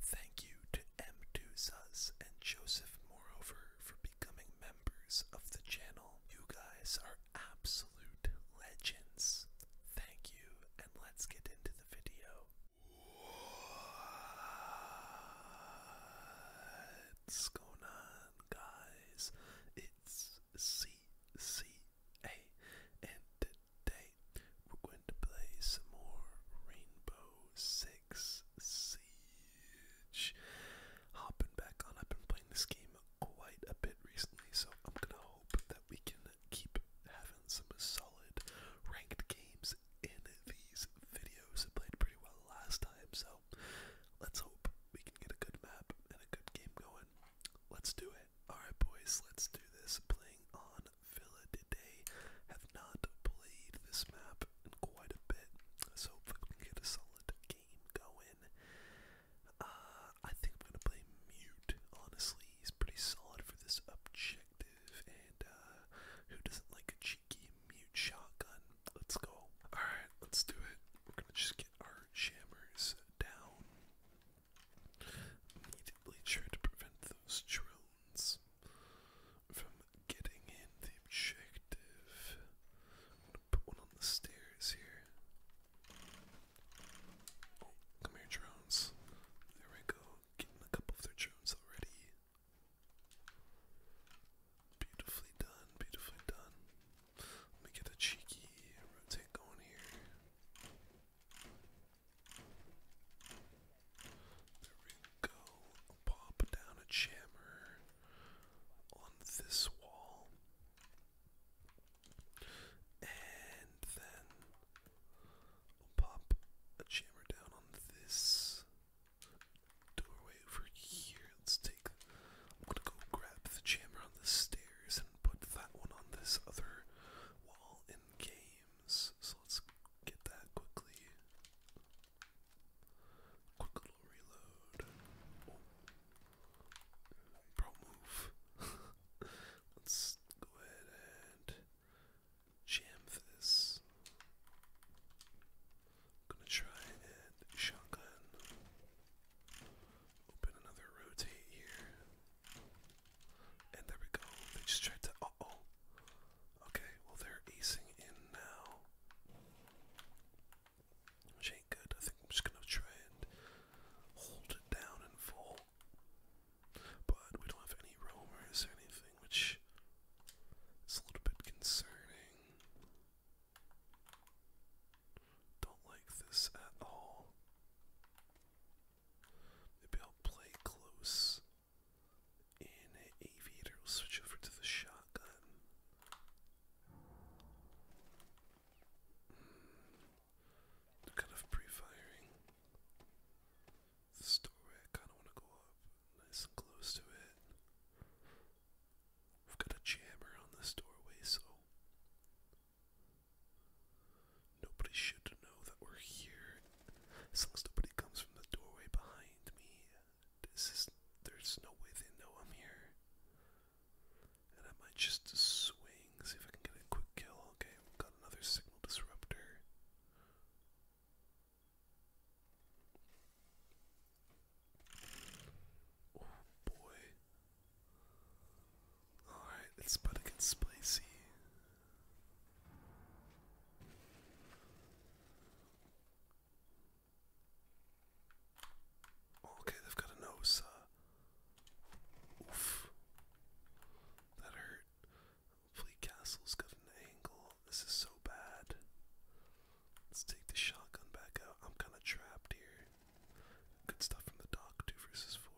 Thank you to m 2 and Joseph Moreover for becoming members of the channel. You guys are absolute legends. Thank you, and let's get into the video. What's going on, guys? It's CCA, and we're going to play some more Rainbow Six Siege. Hopping back on, I've been playing this game quite a bit recently, so I'm gonna hope that we can keep having some solid ranked games in these videos. I played pretty well last time, so let's hope we can get a good map and a good game going. Let's do it. Alright, boys, let's do this. Playing on Villa today have not played this map in quite a bit, so if we can get a solid game going, uh, I think I'm gonna play Mute. Honestly, he's pretty solid for this objective, and uh, who doesn't like a cheeky Mute shotgun? Let's go. Alright, let's do it. We're gonna just get our jammers down. Immediately try to prevent those drill from getting in the objective. gonna put one on the stairs here. Oh, come here, drones. There we go. Getting a couple of their drones already. Beautifully done, beautifully done. Let me get a cheeky rotate going here. There we go. Pop down a jammer on this wall. And then pop a jammer down on this doorway over here. Let's take. I'm gonna go grab the jammer on the stairs and put that one on this other wall in game so let's get that quickly. Quick little reload. Oh. Pro move. let's go ahead and jam this. gonna try and shotgun. Open another rotate here. And there we go. They just tried to. Uh oh. Okay, well, they're acing in now. Which ain't good. I think I'm just gonna try and hold it down and fall. But we don't have any roamers or anything, which is a little bit concerning. Don't like this at all. Maybe I'll play close in Aviator. We'll switch over to the shotgun. Hmm. kind of pre-firing. This doorway, I kind of want to go up nice and close to it. We've got a jammer on this doorway, so Nobody should know that we're here. As long as nobody comes from the doorway behind me, this is, there's no way they know I'm here. And I might just swing, see if I can get a quick kill. Okay, got another signal disruptor. Oh boy. Alright, it's about to get spicy. Okay, they've got a nose. Uh, oof. That hurt. Hopefully, Castle's got an angle. This is so bad. Let's take the shotgun back out. I'm kind of trapped here. Good stuff from the dock, two versus four.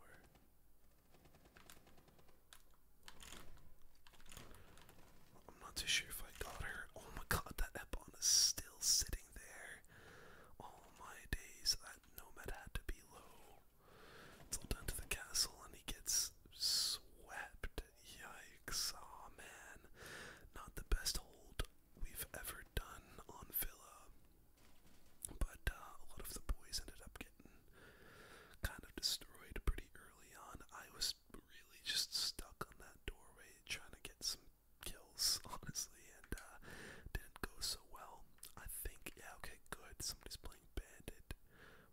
I'm not too sure if I got her. Oh my god, that Epon is still sitting there. All my days, that nomad had to be low. It's all down to the castle and he gets swept. Yikes. oh, man. Not the best hold we've ever done on Villa. But uh, a lot of the boys ended up kind of destroyed pretty early on. I was really just stuck on that doorway trying to get some kills, honestly, and uh, didn't go so well. I think, yeah, okay, good. Somebody's playing Bandit,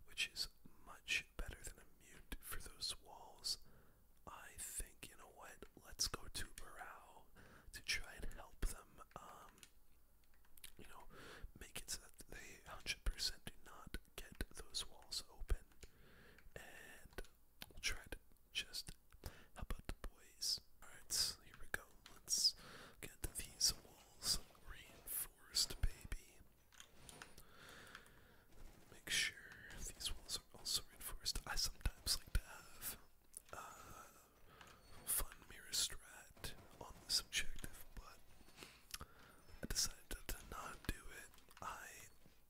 which is much better than a mute for those walls. I think, you know what, let's go to Barrow to try and help them. Um, um, you know, make it so that they 100% do not get those walls open. And try to just help out the boys. Alright, here we go. Let's get these walls reinforced, baby. Make sure these walls are also reinforced. I sometimes like to have uh, fun mirror strat on this objective, but I decided to not do it. I,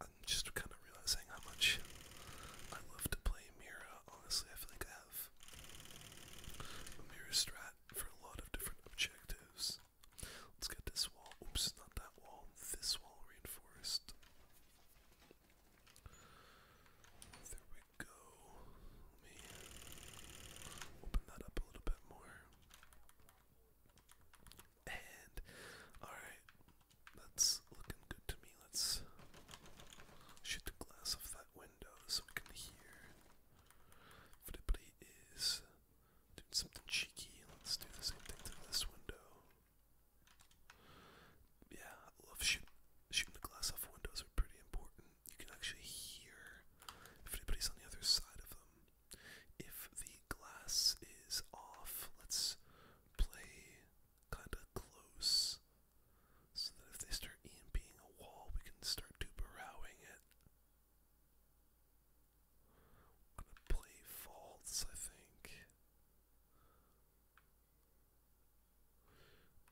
am just kind of realizing how much I love to play Mira. Honestly, I feel like I have a Mira strat for a lot of different objectives. Let's get this wall. Oops, not that wall. This wall reinforced. There we go me open that up a little bit more. And alright, that's looking good to me. Let's shoot the glass off that window so we can hear if anybody is doing something cheeky. Let's do the same thing to this window. Yeah, love shooting the glass off windows are pretty important you can actually hear if anybody's on the other side of them. If the glass is off, let's play kind of close so that if they start EMPing a wall, we can start duperowing it. I'm gonna play false, I think.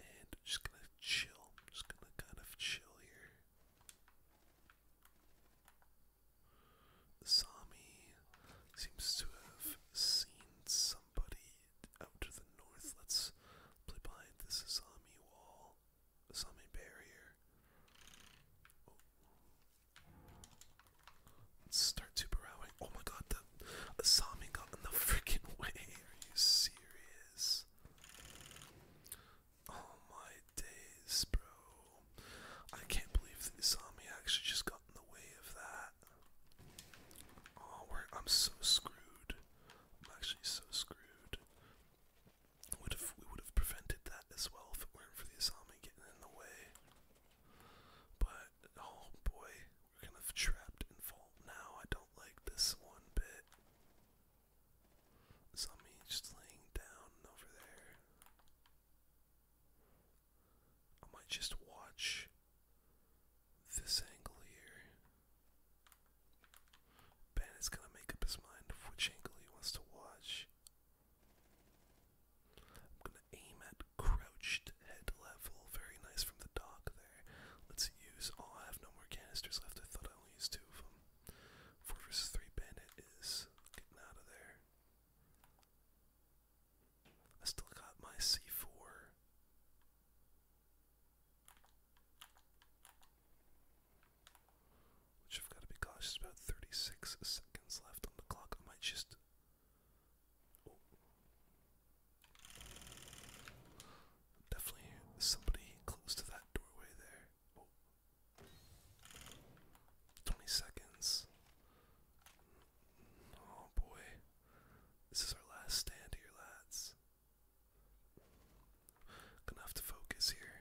And just gonna chill. Just gonna kind of chill here. Sami seems to have seen somebody out to the north. Let's play behind this Sami wall, Sami barrier. Oh. Let's start superrowing. Oh my god, the Asami got in the freaking way. Are you serious? Oh my days, bro. I can't believe the Isami actually just got in the way of that. Oh, I'm so screwed. I'm actually so screwed. Would have we would have prevented that as well if it weren't for the Isami getting in the way. But oh boy, we're kind of trapped in fault now. I don't like this one bit. Somebody just laying down over there. I might just watch this angle here. Bandit's gonna make up his mind which angle he wants to watch. I'm gonna aim at crouched head level. Very nice from the dock there. Let's use. Oh, I have no more canisters left. I thought I only used two of them. Four versus three bandit is getting out of there. I still got my C four. Which I've got to be cautious about 36 seconds left on the clock. I might just. Oh. Definitely somebody close to that doorway there. 20 seconds. Oh boy. This is our last stand here, lads. Gonna have to focus here.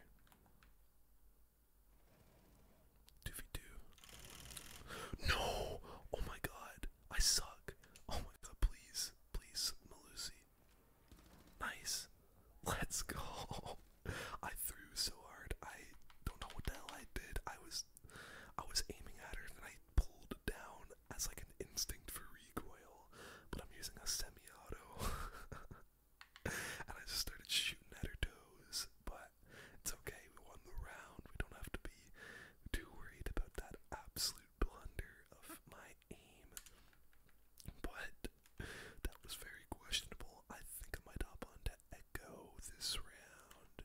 2 v No! Oh my god. I suck. Oh my god, please. Please, Malusi. Nice. Let's go. I threw so hard. I don't know what the hell I did. I was I was aiming at her and I pulled down as like an instinct for recoil, but I'm using a semi-auto. and I just started shooting at her toes, but it's okay. We won the round. We don't have to be too worried about that absolute blunder of my aim. But that was very questionable. I think I might hop on Echo this round.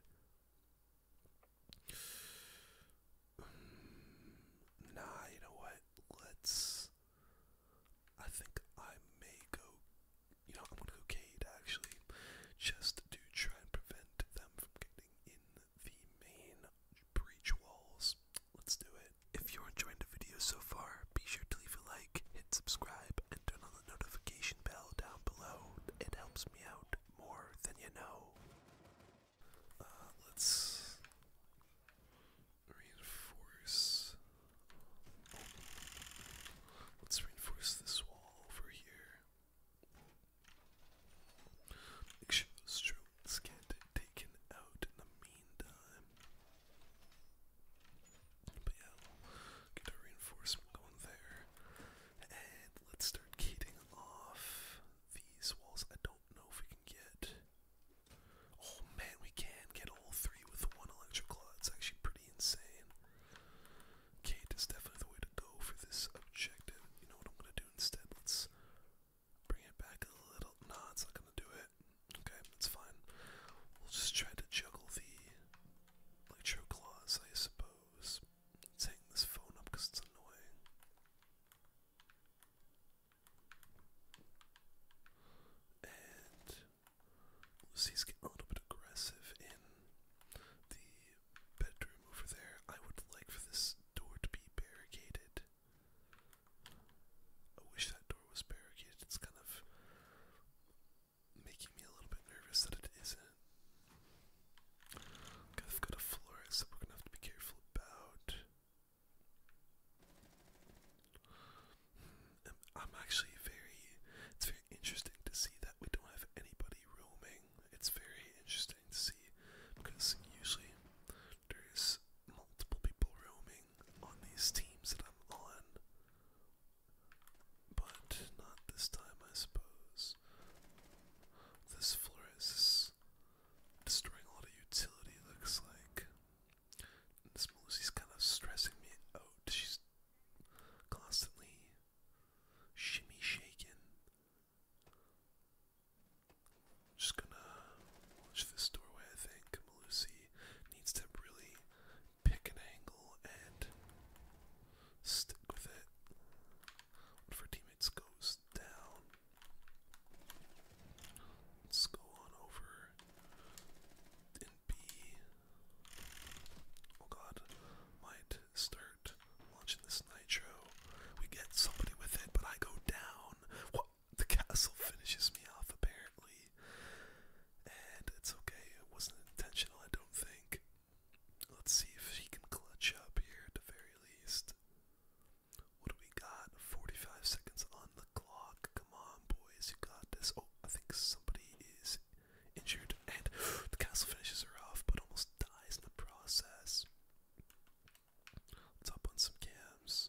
Hmm, nah, you know what? Let's. I think I may go. You know, I'm gonna go Cade actually, just to try and prevent them from getting in the main breach walls. Let's do it. If you're enjoying the video so far, be sure to leave a like, hit subscribe, and turn on the notification bell down below. It helps me out more than you know. Uh, let's reinforce. Let's reinforce this wall over here. Make sure those true roots get taken out in the meantime. But yeah, we'll get our reinforcement going there. And let's start gating off these walls. I don't know if we can get. Oh man, we can get all three with one electrical. It's actually pretty insane. Gate is definitely the way to go for this objective. You know what I'm gonna do instead? Let's Bring it back a little. Nah, it's not gonna do it. Okay, that's fine. We'll just try to juggle the electro claws, I suppose. Let's hang this phone up because it's annoying. And Lucy's getting a little bit aggressive in the bedroom over there. I would like for this door to be barricaded I wish that door was barricaded. It's kind of making me a little bit nervous that it isn't. I've got a florist that we're to have to be careful about. Hmm, I'm actually very. It's very interesting to see that we don't have anybody roaming. It's very interesting to see because usually there's multiple people roaming on these teams that I'm on. But not this time, I suppose. This Flores is destroying a lot of utility, looks like. And this Melusi's kind of stressing me out. She's constantly shimmy shaking. Just gonna watch this doorway, I think. Malusi needs to really pick an angle and stick with it. One of her teammates goes down. Let's go on over and B. Oh god, might start launching this nitro. We get somebody with it, but I go down the castle finishes me off apparently. And it's okay, it wasn't intentional, I don't think. Let's see if she can clutch up here at the very least. What do we got? 45 seconds on the clock. Come on, boys, you got this. Oh, I think somebody is injured, and the castle finishes her off, but almost dies in the process. Let's hop on some cams.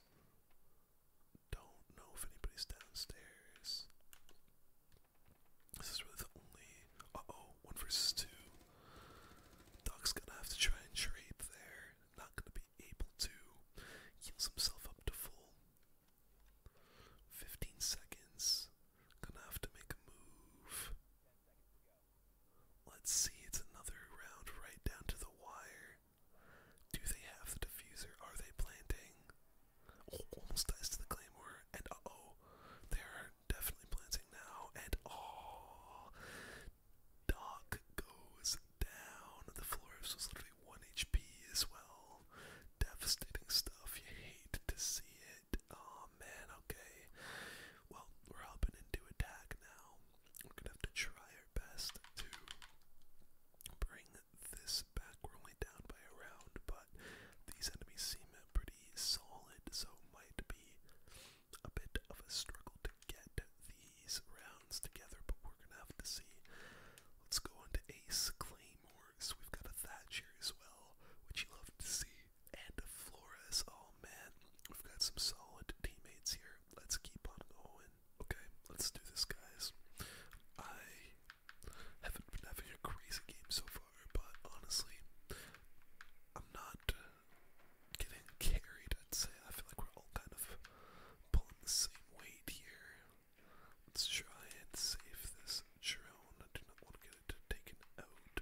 Don't know if anybody's downstairs. This is really the only. Uh oh, one versus two. Doc's gonna have to try and trade there. Not gonna be able to. Heals himself up to full. 15 seconds. Gonna have to make a move. Let's see, it's another round right down to the wire. Do they have the diffuser? Are they planting? almost dies to the claymore, and oh, they are definitely planting now. And oh, Doc goes down. The florist was literally 1 HP as well. Devastating stuff. You hate to see it. Oh man, okay. Well, we're hopping into attack now. We're gonna have to try their best to bring this back. We're only down by a round, but these enemies seem pretty solid, so might be a bit of a struggle to get these rounds together, but we're gonna have to see. Let's go on to Ace Claymores. We've got a Thatcher as well, which you love to see, and a Flores. Oh man, we've got some solid teammates here. Let's keep on going. Okay, let's do this, guys. I haven't been having a crazy game so far, but honestly, I'm not getting carried, I'd say. I feel like we're all kind of pulling the same weight here. Let's try and save this drone. I do not want to get it taken out.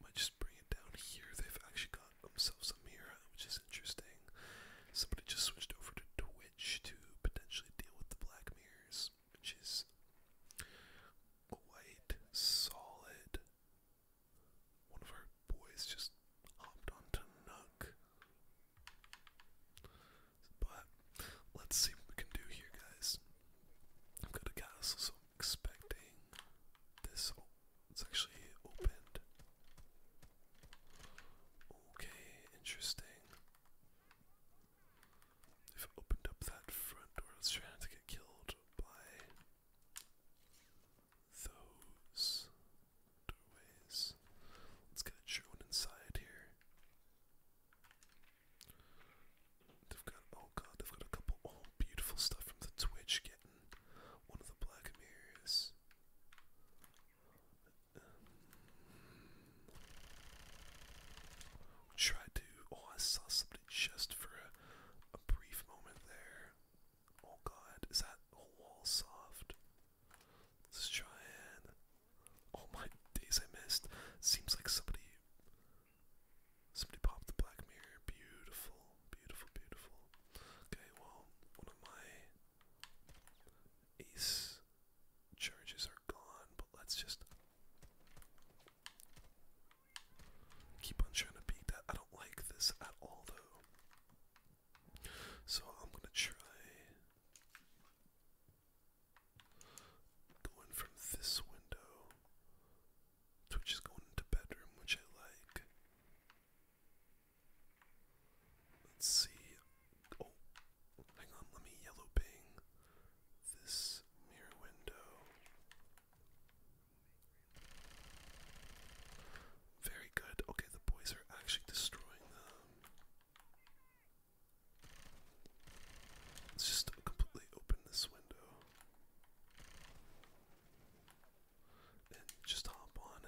Might just bring it down here. They've actually got got themselves which is interesting. Somebody just switched over to Twitch to potentially deal with the Black Mirrors, which is quite solid. One of our boys just hopped onto Nook. But let's see what we can do here, guys. i am gonna castle, so I'm expecting this whole it's actually opened. Okay, interesting. They've opened up that front door. Let's try not to get killed by those doorways. Let's get a inside here. They've got oh god, they've got a couple. Oh, beautiful stuff from the Twitch getting one of the Black Mirrors. Um, to. Oh, I saw somebody just for a, brief moment there. Oh god, is that a soft? Let's try it. Oh my days, I missed. Seems like somebody. Somebody popped the Black Mirror. Beautiful beautiful, beautiful. Okay, well, one of my ace charges are gone, but let's just keep on trying to beat that. I don't like this at all, though. So I'm gonna try going from this window, which is going into bedroom, which I like. Let's see. Oh, hang on. Let me yellow ping this mirror window. Very good. Okay, the boys are actually destroying them. Let's just completely open this window just hop on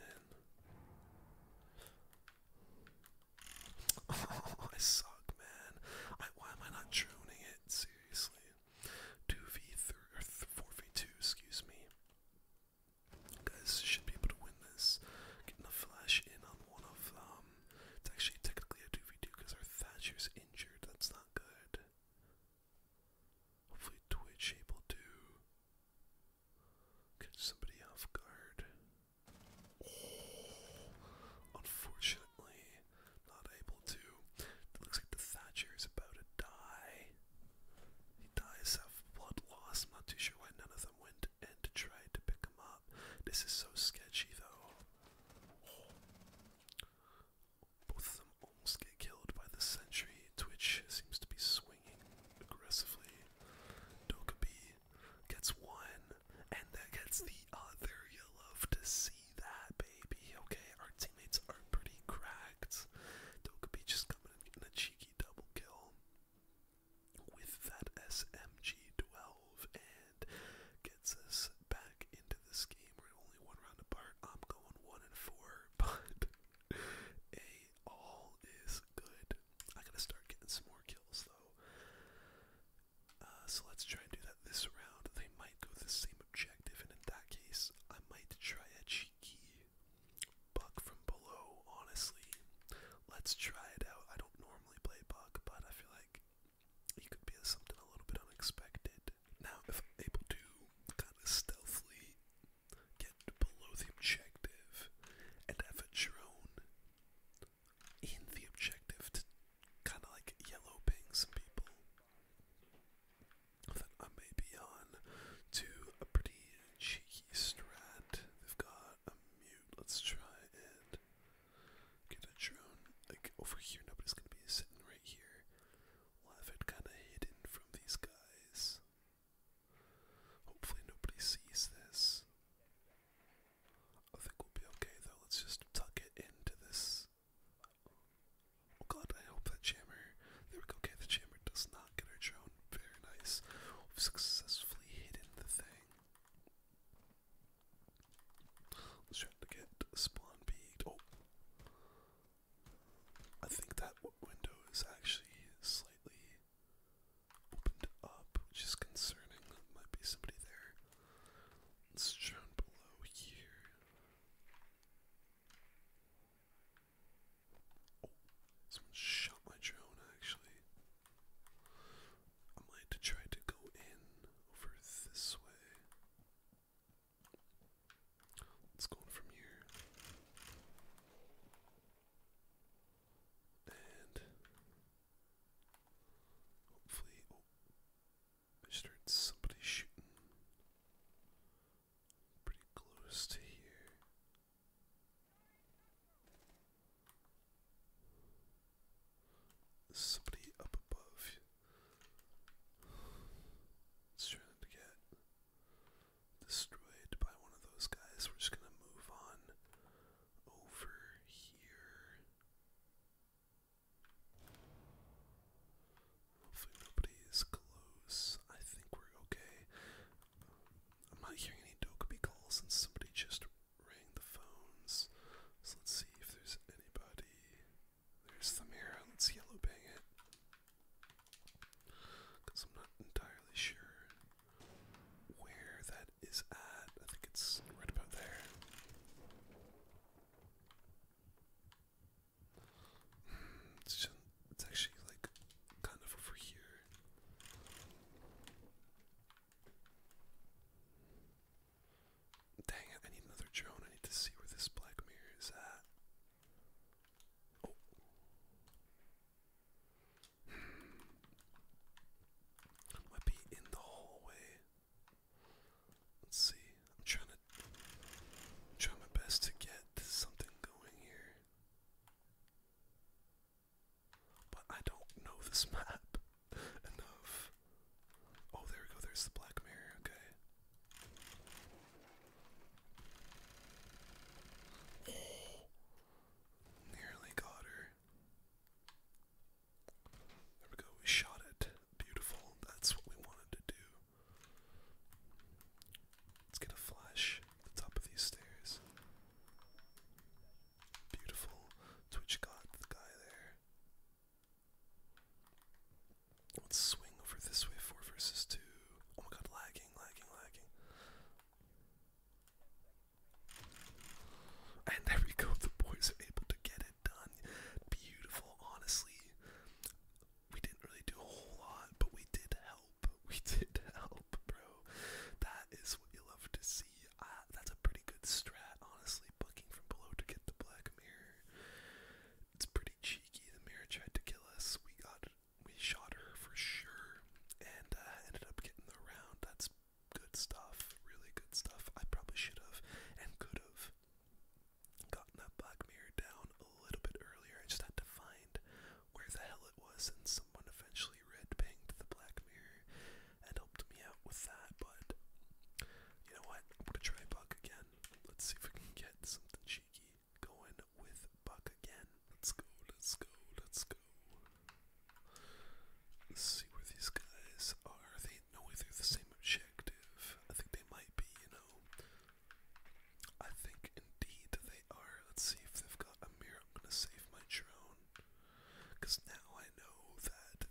in. I suck, man. why am I not droning it? Seriously. 2v3, or 4v2, excuse me. guys should be able to win this. Getting a flash in on one of them. Um, it's actually technically a 2v2 because our Thatcher's injured. That's not good. Hopefully Twitch able to catch somebody off guard. Oh, unfortunately, not able to. looks like the Thatcher is about to die. He dies of blood loss. I'm not too sure why none of them went and tried to pick him up. This is so sketchy though. Both of them almost get killed by the sentry. Twitch seems to be swinging aggressively. Dokubi gets one, and that gets the other. You love to see that, baby. Okay, our teammates are pretty cracked. Dokubi just coming in a cheeky double kill with that SMG12 and gets us back into this game. We're only one round apart. I'm going one and four, but a all is good. I gotta start getting some more kills though. Uh, so let's try and do that this round. They might go the same objective, and in that case, I might try a cheeky buck from below. Honestly, let's try it out. I don't normally play buck, but I feel like. it could be something a little bit unexpected. Now, if I'm able to kind of stealthily get below the objective and have a drone in the objective to kind of like yellow ping some people, then I may be on to a pretty cheeky strat. They've got a mute. Let's try and get a drone. Like over here, nobody's gonna be sitting right here. Lavitt kind of hidden from these guys. Hopefully nobody sees this. I think we'll be okay though. Let's just tuck it into this. Oh god, I hope that jammer. There we go. Okay, the jammer does not get our drone. Very nice. We've successfully hidden the thing. let to get spawn beat. Oh, I think that window is actually slightly opened up, which is concerning. There might be somebody there. It's down below here. Oh, someone shot my drone actually. I might try to go in over this way. Let's go from here. And hopefully, oh, I heard somebody shooting pretty close to here. Somebody up above. It's to get destroyed by one of those guys. We're just gonna move on over here. Hopefully nobody is close. I think we're okay. I'm not hearing any Dokubi calls since somebody just rang the phones. So let's see if there's anybody. There's the mirror. Let's yellow bang it. Because I'm not entirely sure where that is at. I think it's right about there. Hmm, it's, it's actually like kind of over here. Dang it, I need another drone. I need to see where this black mirror is at. Might be in the hallway. Let's see. I'm trying to i my best to get something going here. But I don't know this map enough. Oh, there we go. There's the black mirror. Okay. Nearly got her. There we go, we shot it. Beautiful. That's what we wanted to do. Let's get a flash at the top of these stairs. Beautiful. Twitch got the guy there. Let's swing over this way, for versus 2. Oh my god, lagging, lagging, lagging. And there we go, the boys are able to get it done. Beautiful, honestly. We didn't really do a whole lot, but we did help. We did help, bro. That is what you love to see. Ah, that's a pretty good strat, honestly. Booking from below to get the black mirror. It's pretty cheeky. The mirror tried to kill us. We got we shot her for sure and uh, ended up getting the round. That's good stuff. Really good stuff. I probably should have and could have gotten that black mirror down a little bit earlier. I just had to find where the hell it was and someone eventually red pinged the black mirror and helped me out with that, but you know what? I'm gonna try bug again. Let's see if we can get something cheap going with Buck again. Let's go, let's go, let's go. Let's see where these guys are. They know they're the same objective. I think they might be, you know. I think indeed they are. Let's see if they've got a mirror. I'm gonna save my drone. Cause now I know that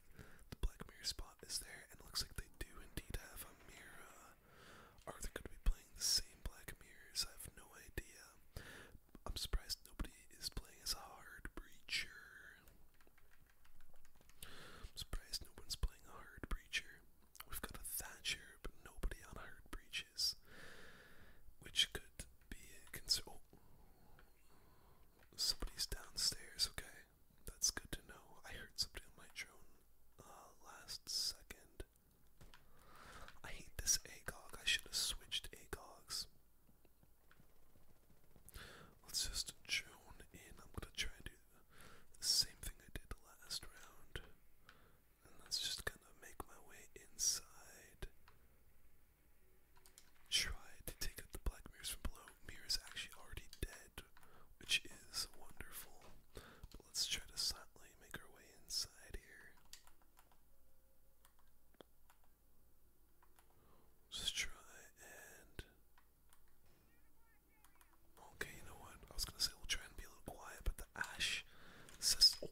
the Black Mirror spot is there and looks like they do indeed have a mirror. Are they be playing the same Black Mirrors? I have no idea. I'm surprised nobody is playing as a hard breacher. surprised no one's playing a hard breacher. We've got a Thatcher, but nobody on hard breaches. Which could be a concern. Oh, somebody's downstairs, okay. That's good to know. I heard something on my drone uh, last second. I hate this AGOG. I should have switched AGOGs. Let's just drone in. I'm gonna try and do the same thing I did the last round. And that's just gonna make my way inside. Try to take out the black mirrors from below. Mirror's actually already dead which is wonderful. let's try to silently make our way inside here. Just try and. Okay, you know what? I was gonna say we'll try and be a little quiet, but the ash says. Oh,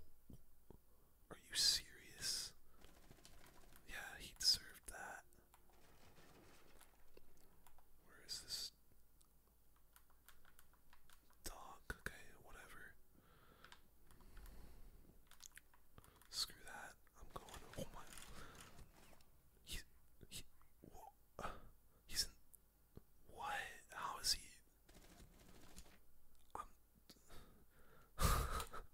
are you serious? Yeah, he deserved that. Where is this? Dog, okay, whatever. Screw that. I'm going. Oh my. He. He. he's What? How is he? I'm.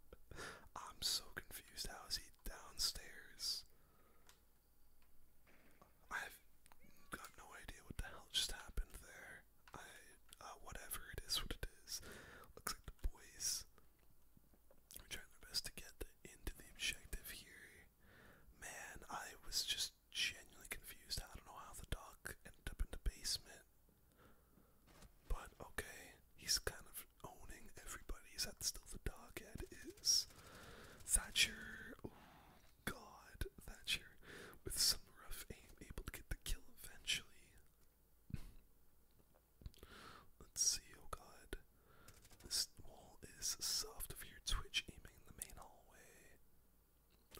I'm so confused. How is he downstairs? I've got no idea what the hell just happened there. I, uh, whatever it is, what it is. Looks like the boys are trying their best to get into the objective here. Man, I was just genuinely confused. I don't know how the dog ended up in the basement. But okay, he's kind of owning everybody. Is that still the dog? is Thatcher. God, Thatcher, with some rough aim, able to get the kill eventually. Let's see, oh god. This wall is soft of your twitch aiming in the main hallway.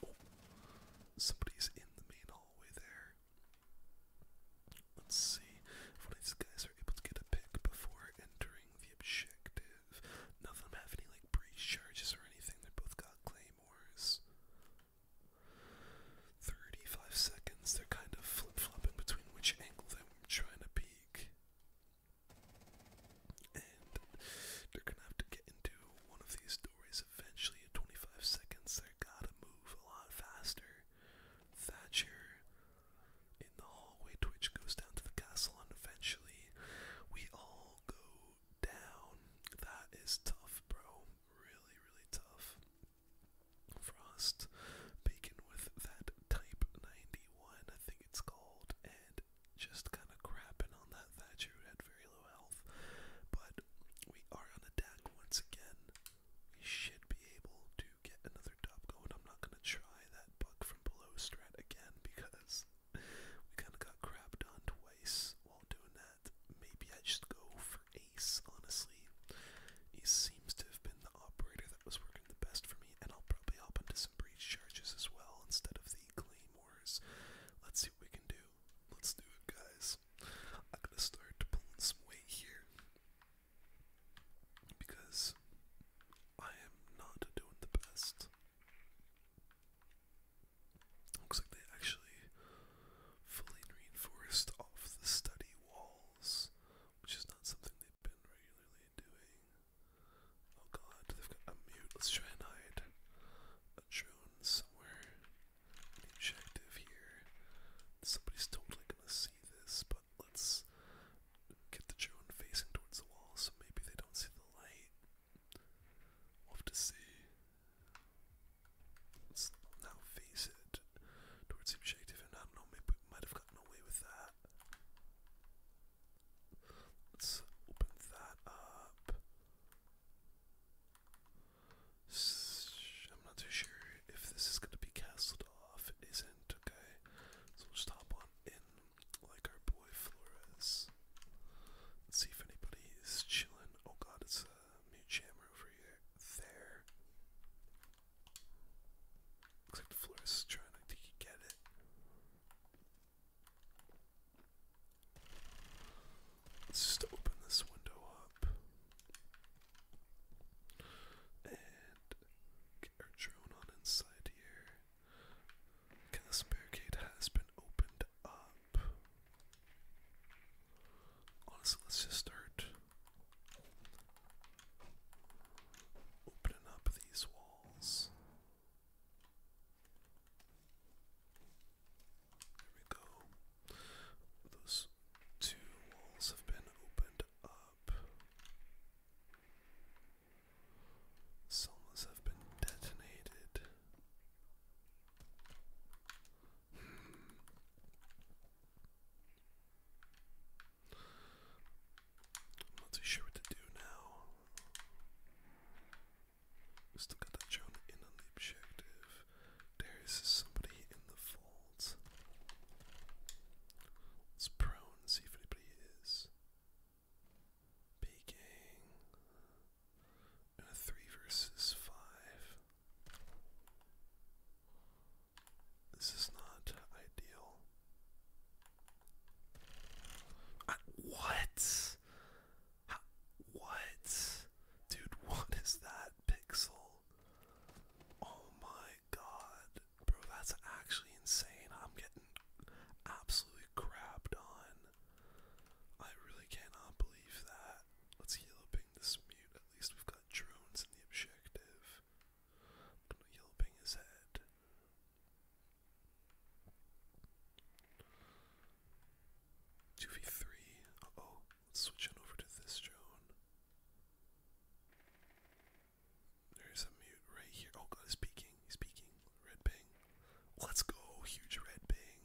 Oh, somebody's in the main hallway there. Let's see if one of these guys are able to get a pick before entering the objective. None of like breach charges or anything. They both got claymores. 35 seconds, they're kind of flip flopping between which angle they're trying to peek. And they're gonna have to get into one of these doorways eventually. In 25 seconds, they're gotta move a lot faster. Thatcher in the hallway to goes down to the castle, and eventually we all go down. That is tough, bro. Really, really tough. Frost bacon with that Type 91, I think it's called, and just kind of crapping on that Thatcher who had very low health. But we are on attack once again. We should be able to get another I'm not gonna try that buck from below strat again because we kinda got crapped on twice while doing that. Maybe I just go for Ace, honestly. He seems to have been the operator that was working the best for me, and I'll probably hop into some breach charges as well instead of the claymores. Let's see what we can do. Let's do it, guys. I'm gonna start pulling some weight here because I am not doing the best. Looks like they actually fully reinforced off the study walls, which is not something they've been regularly doing. Oh god, they've got a mute. Let's try and hide a drone somewhere. The here. Somebody's totally gonna see this, but let's get the drone facing towards the wall so maybe they don't see the light. have to see. Let's now face it towards the objective, I don't know, maybe we might have gotten away with that. Let's open that up. I'm not too sure if this is going to be castled off. It isn't, okay? So we'll just hop on in like our boy Flores. Let's see if anybody is chilling. Oh god, it's a mute jammer over here. There. Looks like Flores is trying to get it. Let's just open this window up and get our drone on inside here. Okay, this barricade has been opened up. Honestly, let's just start opening up these walls. There we go. Those two walls have been opened up. Solas have been detonated. Hmm. not too sure what to do now. We still got that drone in on the objective. There is somebody in the folds. Let's prone and see if anybody is. Baking. And three versus five. This is not ideal. Ah, what? what? Dude, what is that pixel? Oh my god, bro, that's actually insane. I'm getting absolutely crapped on. I really cannot believe that. Let's yellow ping this mute. At least we've got drones in the objective. gonna yellow ping his head. Two v three. oh. Let's switch on over to this drone. There's a mute right here. Oh god, he's peeking. He's peeking. Red ping. Let's go. Huge red ping.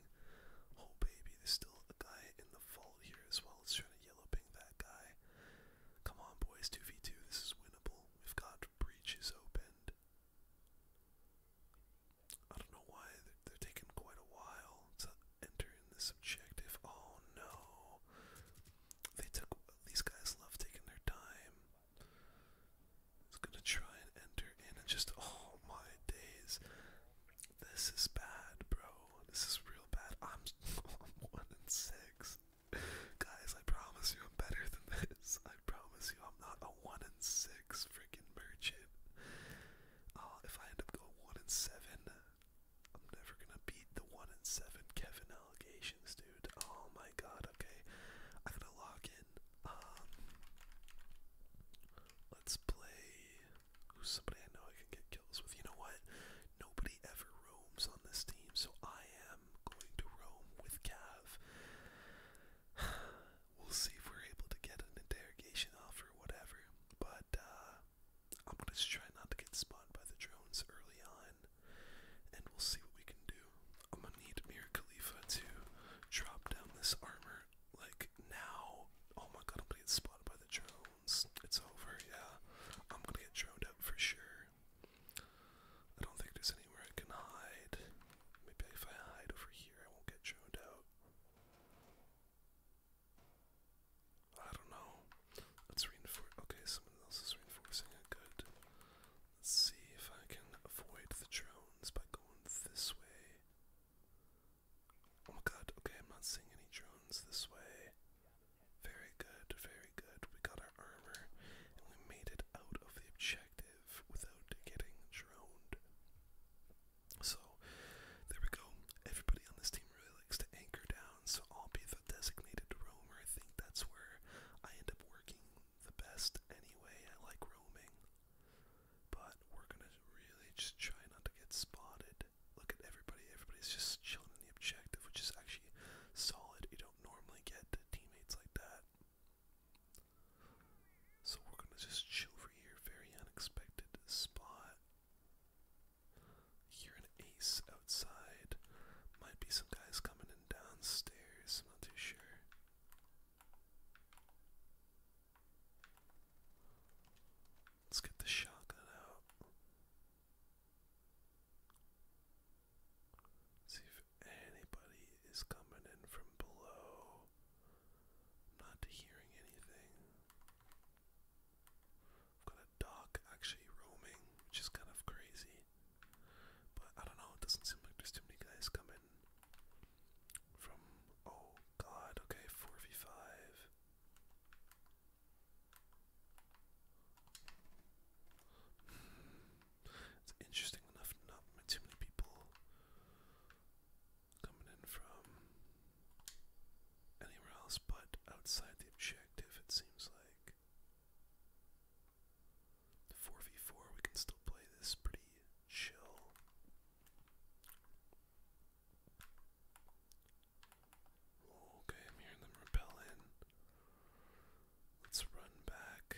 Oh baby, there's still a guy in the vault here as well. It's trying to yellow ping that guy. Come on, boys. 2v2. This is winnable. We've got breaches open. I don't know why they're taking quite a while to enter in this objective. Oh no. They took these guys love taking their time. It's gonna try and enter in and just oh my days. This is bad, bro. This is real bad. I'm, one in six. Guys, I promise you I'm better than this. I promise you I'm not a one in six freaking merchant. Uh, if I end up going one in seven, I'm never gonna beat the one in seven Kevin allegation dude. Oh my god, okay. I gotta log in. Um let's play somebody I know I can get kills with. You know what? Nobody ever roams on this team, so I am going to roam with Cav. we'll see if we're able to get an interrogation off or whatever. But uh, I'm gonna try not to get spotted by the drones early on and we'll see what we can do. I'm gonna need Mir Khalifa to drop down this armor like now. Oh I'm gonna get spotted by the drones. It's over, yeah. I'm gonna get droned out for sure. I don't think there's anywhere I can hide. Maybe if I hide over here, I won't get droned out. I don't know. Let's reinforce. Okay, someone else is reinforcing it. Good. Let's see if I can avoid the drones by going this way. Oh my god, okay, I'm not seeing any drones this way. Very good, very good. We got our armor and we made it out of the objective without getting drone. So, there we go. Everybody on this team really likes to anchor down, so I'll be the designated room, or I think that's where I end up working the best anyway. I like roaming. But we're gonna really just try not to get spotted. Look at everybody, everybody's just chilling in the objective, which is actually solid. You don't normally get teammates like that. So we're gonna just chill for here, very unexpected spot. Hear an ace outside. Might be some guys coming in downstairs. I'm not too sure. Let's get the shotgun out. See if anybody is coming in from below. Not hearing anything got a dog actually roaming, which is kind of crazy. But I don't know, it doesn't seem like there's too many guys coming from. Oh god, okay, 4v5. Hmm, it's interesting enough, not too many people coming in from anywhere else but outside the objective, it seems like. 4v4, we can still play this pretty chill. Okay, I'm hearing them repel in. Let's run back.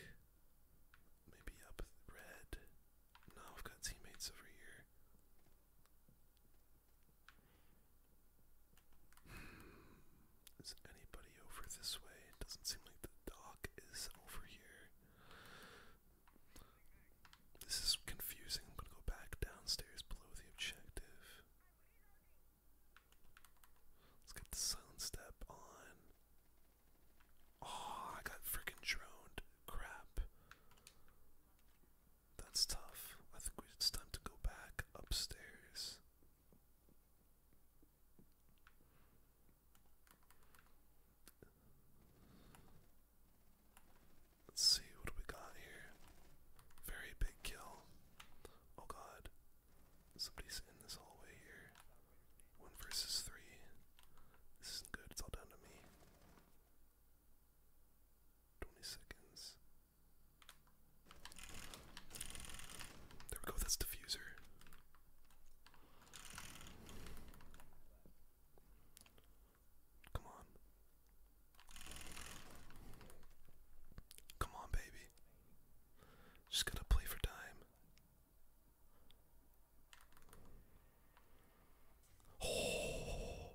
Maybe up red. No, I've got teammates over here. Is anybody over this way? It doesn't seem like the dock is over here. This is confusing. I'm gonna go back downstairs below the objective. Let's get the silent step on. Oh, I got freaking droned. Crap. That's tough. I think it's time to go back upstairs. Let's see what we got here. Very big kill. Oh god. Somebody's in this hallway here. One versus three. This isn't good, it's all down to me. Twenty seconds. There we go, that's diffuser. Come on. Come on, baby. Just gotta play for time. Oh,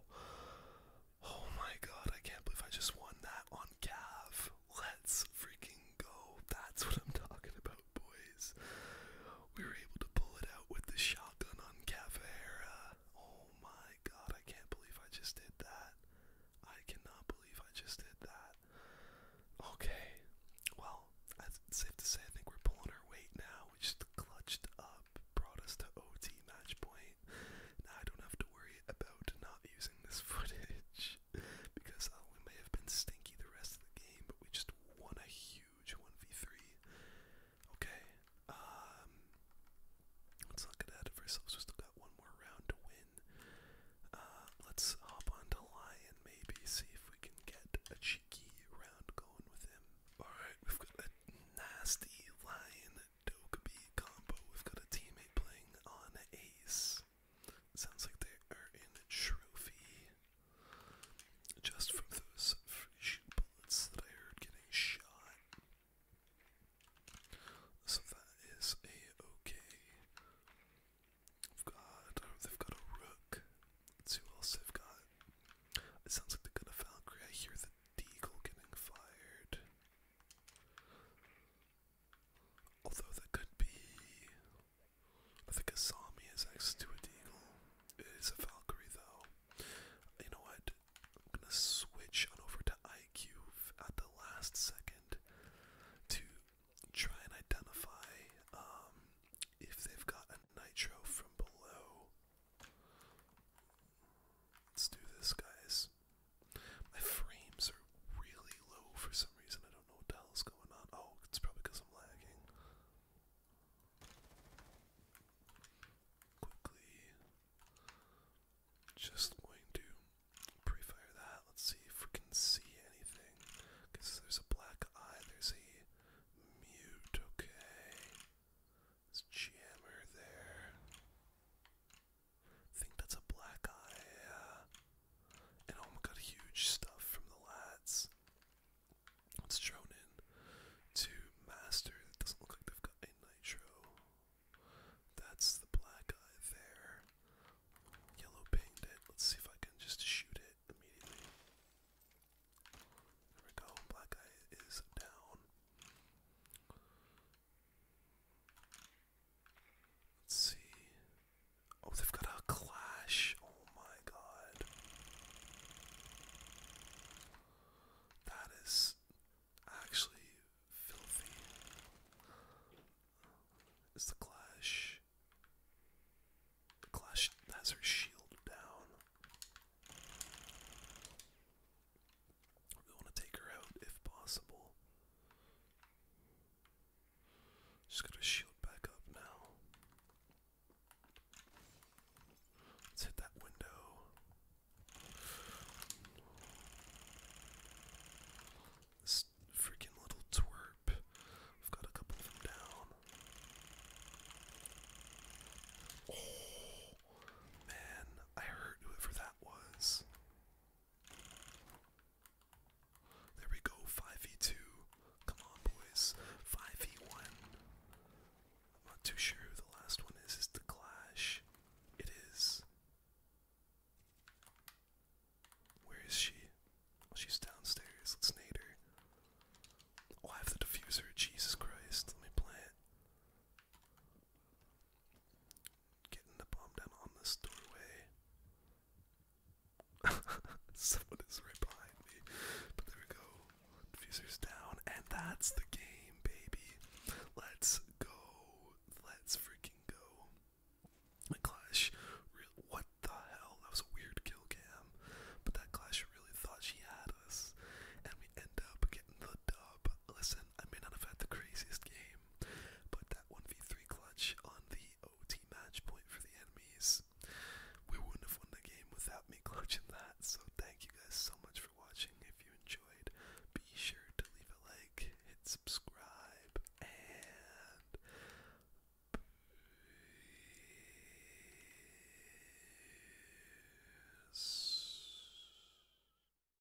oh my god, I can't believe I just won that on Concave. Let's freaking go. That's what I'm talking about, boys. We were able to pull it out with the shotgun on Cavera. Oh my god, I can't believe I just did that. I cannot believe I just did that. Okay, well, it's safe to say I think we're pulling our weight now. We just clutched up, brought us to OT match point. Now I don't have to worry sorry about not using this footage because uh, we may have been stinky the rest of the game, but we just won a huge 1v3. Okay, um, let's not get ahead of ourselves. We still got one more round to win. Uh, let's hop on Lion, maybe, see if we can get a cheeky round going with him. Alright, we've got a nasty Lion dope combo. We've got a teammate playing on ace. Sounds like they are in a trophy. Just from those free bullets that I heard getting shot. So that is a okay. We've got oh, they've got a rook. Let's have got. It sounds like they've got a Valkyrie. I hear the Deagle getting fired. Although that could be. I think a Sami is next to a Deagle. It is a Valkyrie though. You know what? I'm gonna switch on over to IQ at the last second to try and identify um, if they've got a Nitro from below. Let's do this, guys. My frames are really low for some reason. I don't know what the is going on. Oh, it's probably because I'm lagging. Quickly. Just going to pre-fire that. Let's see if we can see anything. Because there's a black eye. There's a mute. Okay. There's jammer there. I think that's a black eye, And oh my god, huge stuff from the lads. It's thrown in to Master. It doesn't look like they've got a Nitro. That's the black eye there. Yellow pinged Let's see if I can just shoot it immediately. There we go. Black eye is down. Let's see. Oh, they've got a clash. Oh my god. That is actually filthy. Is the clash. The clash has her shield down. We want to take her out if possible. Just gotta shield back up now. Let's hit that window. This freaking little twerp. I've got a couple of them down. Oh, man, I heard whoever that was. There we go, 5v2. Come on, boys. 5v1. I'm not too sure who the last one is. Is the Clash? It is. Where is she? Oh, she's downstairs. Let's nade her. Oh, I have the diffuser. Jesus Christ. Let me plant. Getting the bomb down on this doorway. Someone is right behind me. But there we go. Diffuser's down. And that's the game, baby. Let's go. Let's freaking go. My Clash, what the hell? That was a weird kill But that Clash really thought she had us. And we end up getting the dub. Listen, I may not have had the craziest game, but that 1v3 clutch on the OT match point for the enemies, we wouldn't have won the game without me clutching that. So thank you guys so much for watching. If you enjoyed, be sure to leave a like, hit subscribe, and peace.